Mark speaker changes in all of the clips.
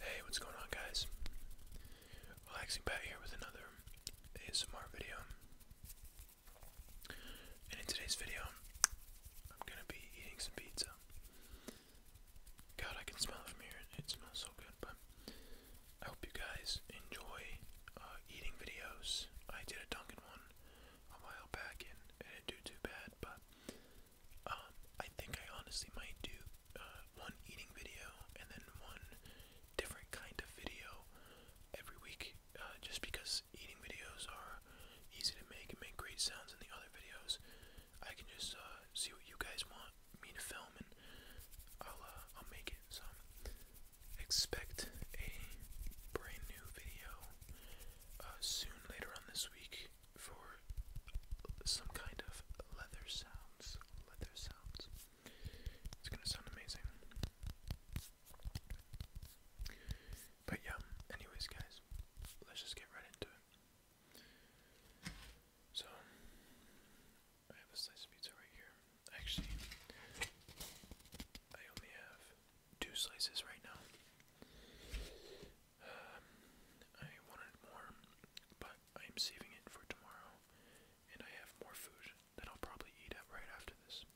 Speaker 1: Hey, what's going on, guys? Relaxing Pat here with another ASMR video. And in today's video, I'm gonna be eating some pizza. God, I can smell it from here. It smells so good, but I hope you guys enjoy uh, eating videos. I did a Dunkin' one a while back, and it didn't do too bad, but um, I think I honestly might do uh, one eating video and then one different kind of video every week, uh, just because eating videos are easy to make and make great sounds in the other videos. I can just uh, see what you guys want me to film, and I'll I'll make it. So expect a brand new video soon later on this week for some kind of leather sounds. Leather sounds. It's gonna sound amazing. But yeah, anyways, guys, let's just get right into it. So, I have a slice of pizza right here. Actually, I only have two slices right now. I wanted more, but I am saving it for tomorrow, and I have more food that I'll probably eat at right after this.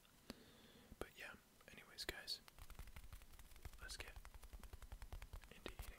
Speaker 1: But yeah, anyways, guys, let's get into eating.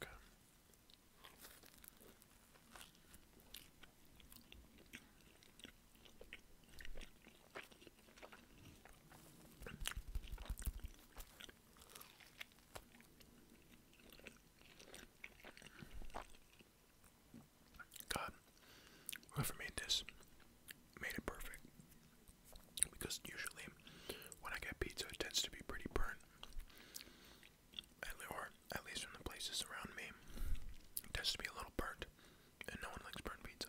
Speaker 1: Okay. God, whoever made this made it perfect. Because usually when I get pizza, it tends to be pretty burnt at least from the places around me, it tends to be a little burnt, and no one likes burnt pizza.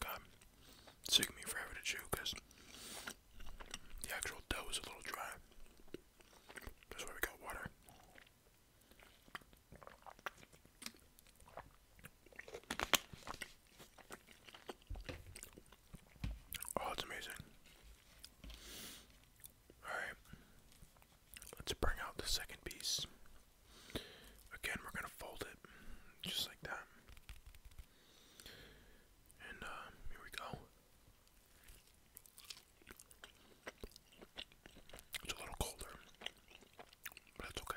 Speaker 1: God, it's taking me forever to chew because the actual dough is a little dry. That's why we got water. Oh, it's amazing. Alright. Let's bring out the second piece. Again, we're going to fold it just like that. And uh, here we go. It's a little colder, but that's okay.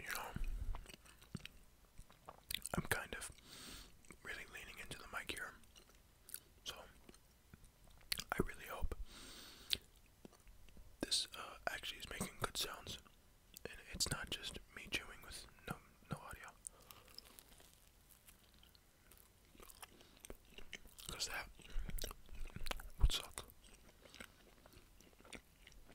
Speaker 1: you know, I'm kind of really leaning into the mic here. So, I really hope this uh, actually is making good sounds. And it's not just me chewing with no, no audio. Because that would suck.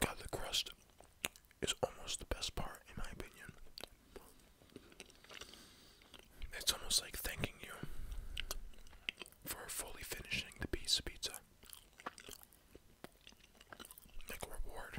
Speaker 1: God, the crust is almost the best part, in my opinion. It's almost like thanking you for fully finishing the piece of pizza. Like a reward.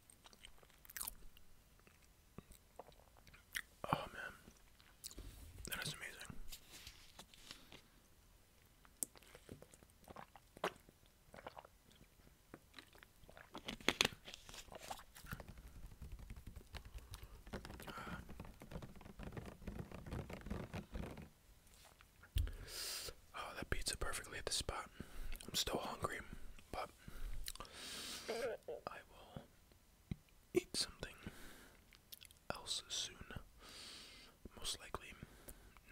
Speaker 1: Oh man, that is amazing. Oh, that pizza perfectly at the spot. I'm still hungry, but I will eat something else soon, most likely,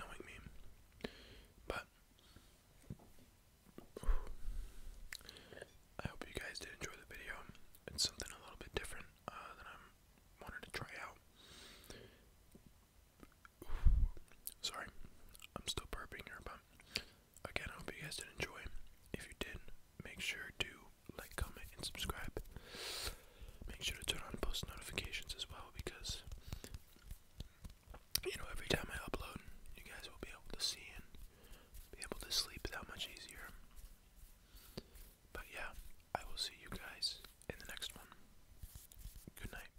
Speaker 1: knowing me. But I hope you guys did enjoy the video. It's something a little bit different uh, than I wanted to try out. Sorry, I'm still burping here, but again, I hope you guys did enjoy. If you did, make sure to like, comment, and subscribe. Make sure to turn on post notifications as well because you know every time I upload, you guys will be able to see and be able to sleep that much easier. But yeah, I will see you guys in the next one. Good night.